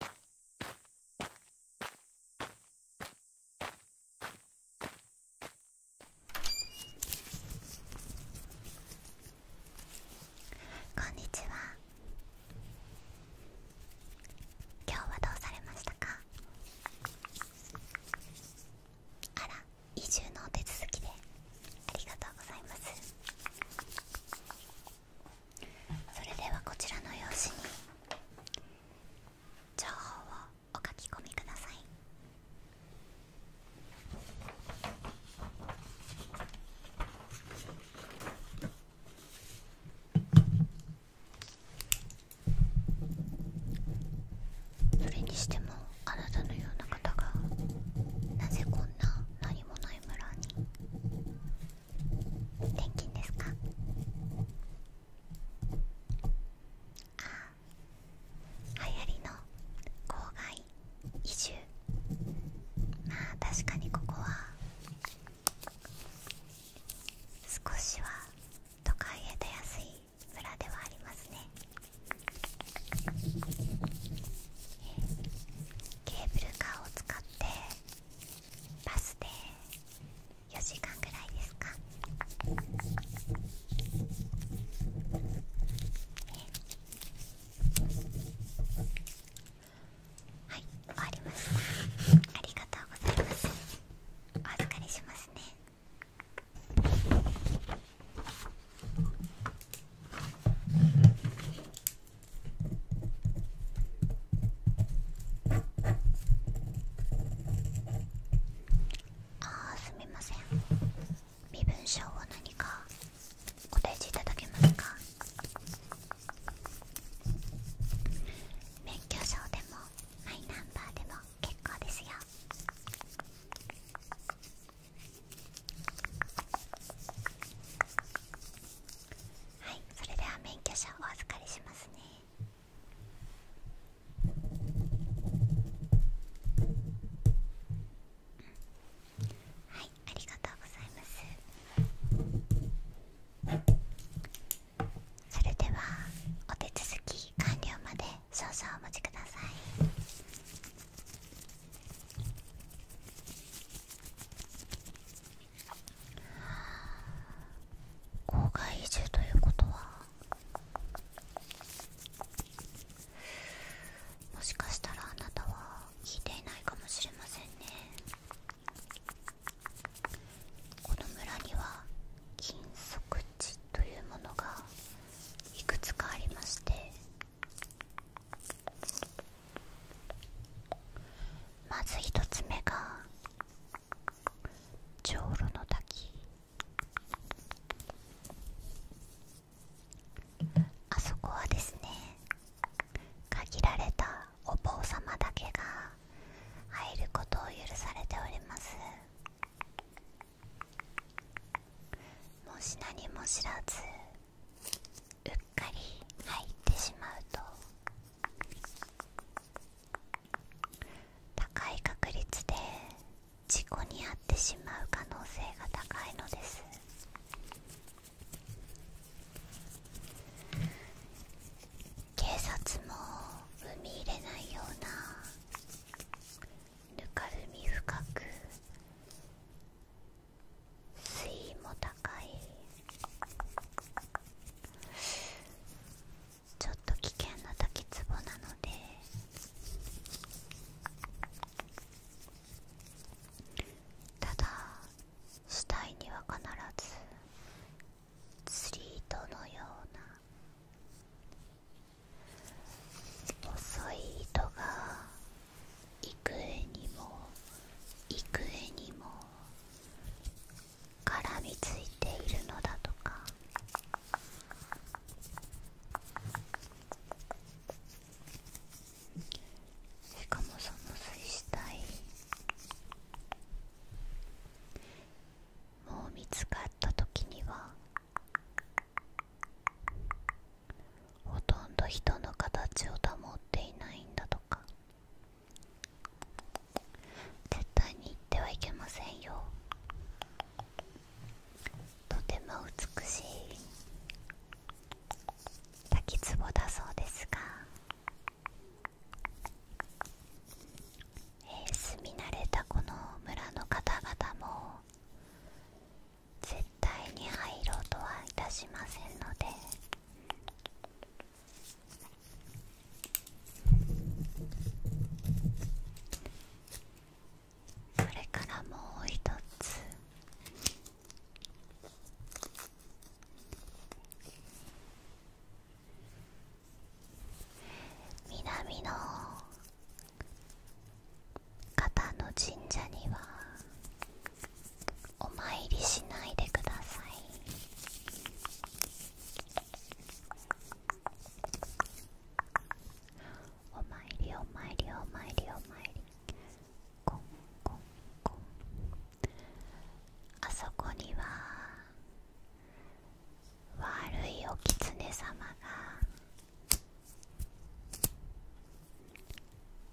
こんにちは今日はどうされましたかあら移住のお手続きでありがとうございますそれではこちらの用紙に情報をお書き込みくださいそれにしてもあなたのような方がなぜこんな何もない村に転勤ですかあ流行りの郊外移住まあ確かにここは少しは都会へ出やすい村ではありますねケーブルカーを使ってバスで4時間ぐらいですかはい終わりましたありがとうございますお預かりしますねあーすみません身分証は何かお提示いただけますか免許証でもマイナンバーでも結構ですよはいそれでは免許証お預かりしますねはいありがとうございますそれではお手続き完了まで少々お待ちください郊外移住ということはもしかしたらあなたは聞いていないかもしれませんねこの村には禁足地というものがいくつかありましてまず一つ目が長老の滝あそこはですね限られたお坊様だけが入ることを許されておりますもし何も知らずうっかり入ってしまうと高い確率で事故に遭ってしまう可能性が高いのです警察も踏み入れないようなぬかるみ深く水位も高いちょっと危険な滝つぼなのでただ死体には必ず釣り糸のような細い糸が幾重にも幾重にも絡みついているのだとかしかもその水死体もう見つかった時にはほとんど人の形を保っていないんだとか絶対に行ってはいけませんよとても美しい滝壺だそうですが、え住み慣れたこの村の方々も絶対に入ろうとはいたしませんので。これからもう一つ南の方の神社にはお参りしないでくださいお参りお参りお参りお参りコンコンコンあそこには悪いお狐様が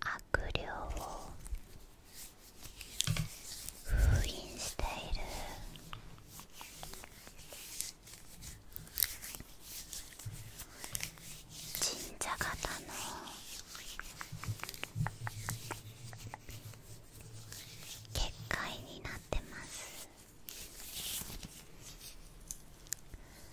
悪霊を封印している神社型の結界になってます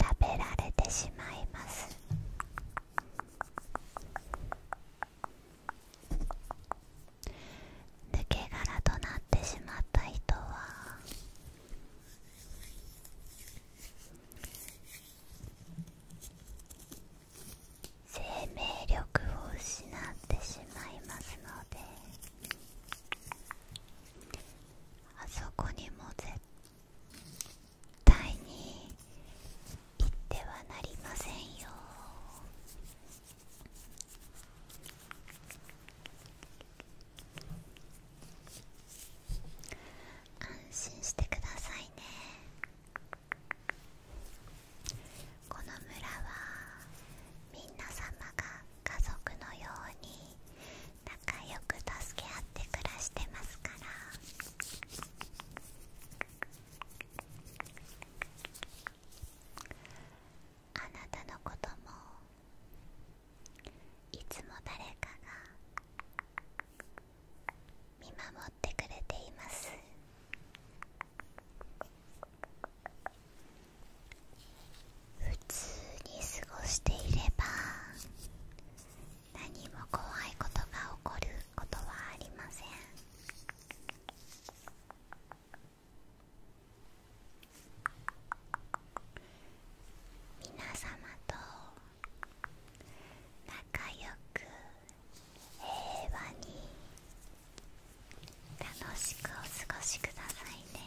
食べられてしまいます抜け殻となってしまった人は生命力を失ってしまいますのであそこにも絶対に行ってはなりませんよ安心してくださいねこの村はみんな様が家族のように仲良く助け合って暮らしてますからあなたのこともいつも誰かが見守ってくれています普通に過ごしていれば何も怖いことが起こることはありません皆様と仲良く平和に楽しくお過ごしくださいね。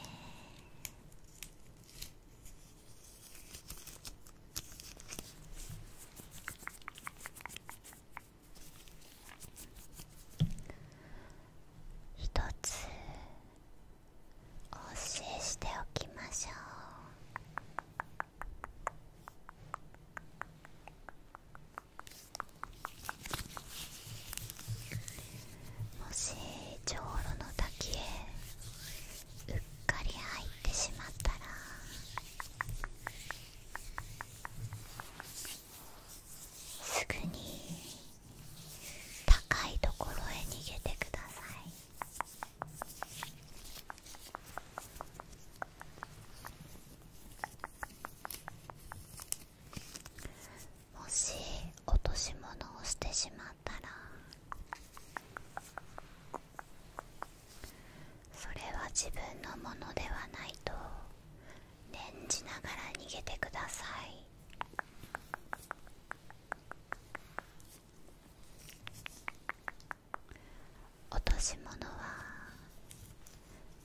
一つお教えしておきましょうもし長老の滝へうっかり入ってしまったらすぐに高いところへ逃げてくださいもし落とし物をしてしまったらそれは自分のものではないと念じながら逃げてください落とし物は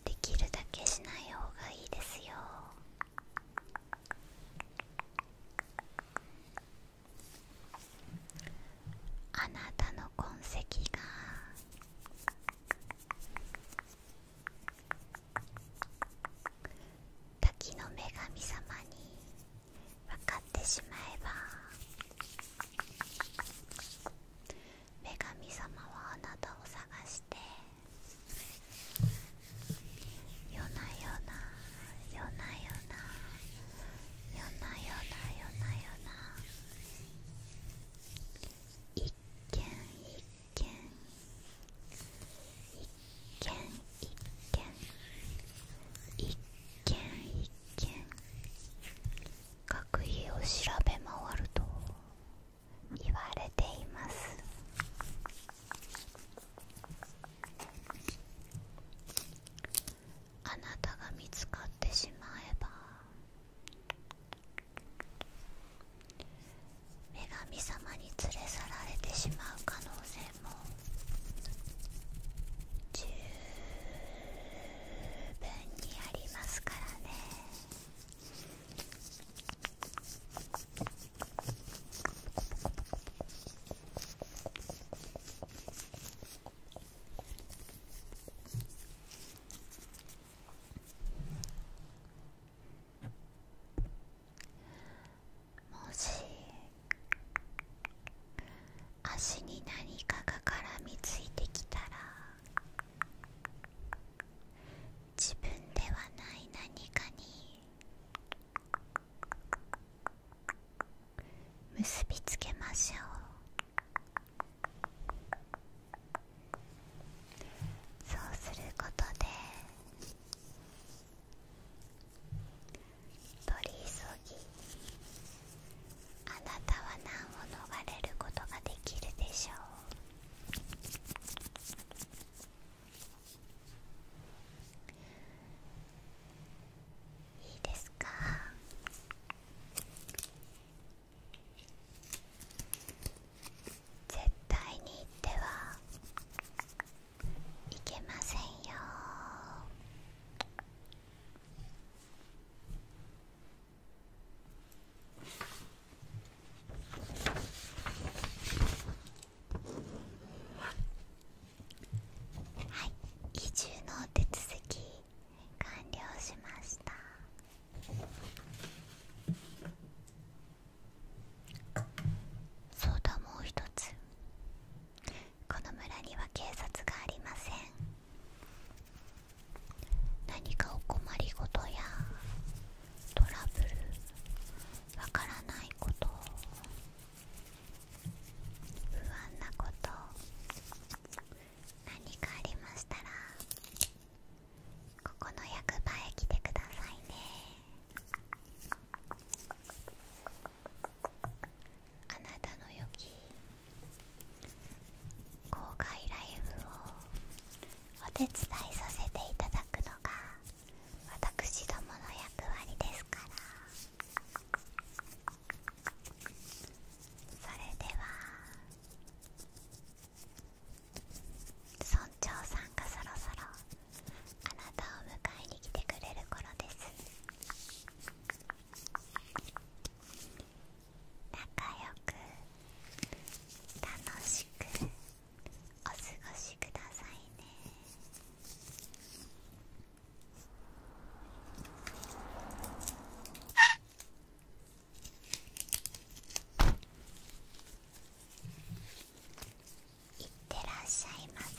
できるだけしない方がいいですよあなたの痕跡が滝の女神様に分かってしまえば女神様はあなたを探して夜な夜な夜な夜な夜な夜な夜な夜な一軒一軒一軒一軒一軒一軒学費を調べ回ると言われていますあなたが見つかってしまえば女神様に連れ去られてしまう可能性も十分にありますからねもし足に何かが絡みついてきたら自分ではない何かに結びつけましょうそうすることで取り急ぎあなたは何を逃れることができるでしょういいですか絶対に行ってはいけませんよはい移住の手続き完了しましたそうだもう一つこの村には警察がありません何かお困りごとやトラブルわからないこと不安なこと何かありましたらここの役場へ来てくださいねあなたの良き公開ライブをお手伝いさせていただくのが私どもの役割ですからそれでは村長さんがそろそろあなたを迎えに来てくれる頃です仲良く楽しくお過ごしくださいねいってらっしゃいませ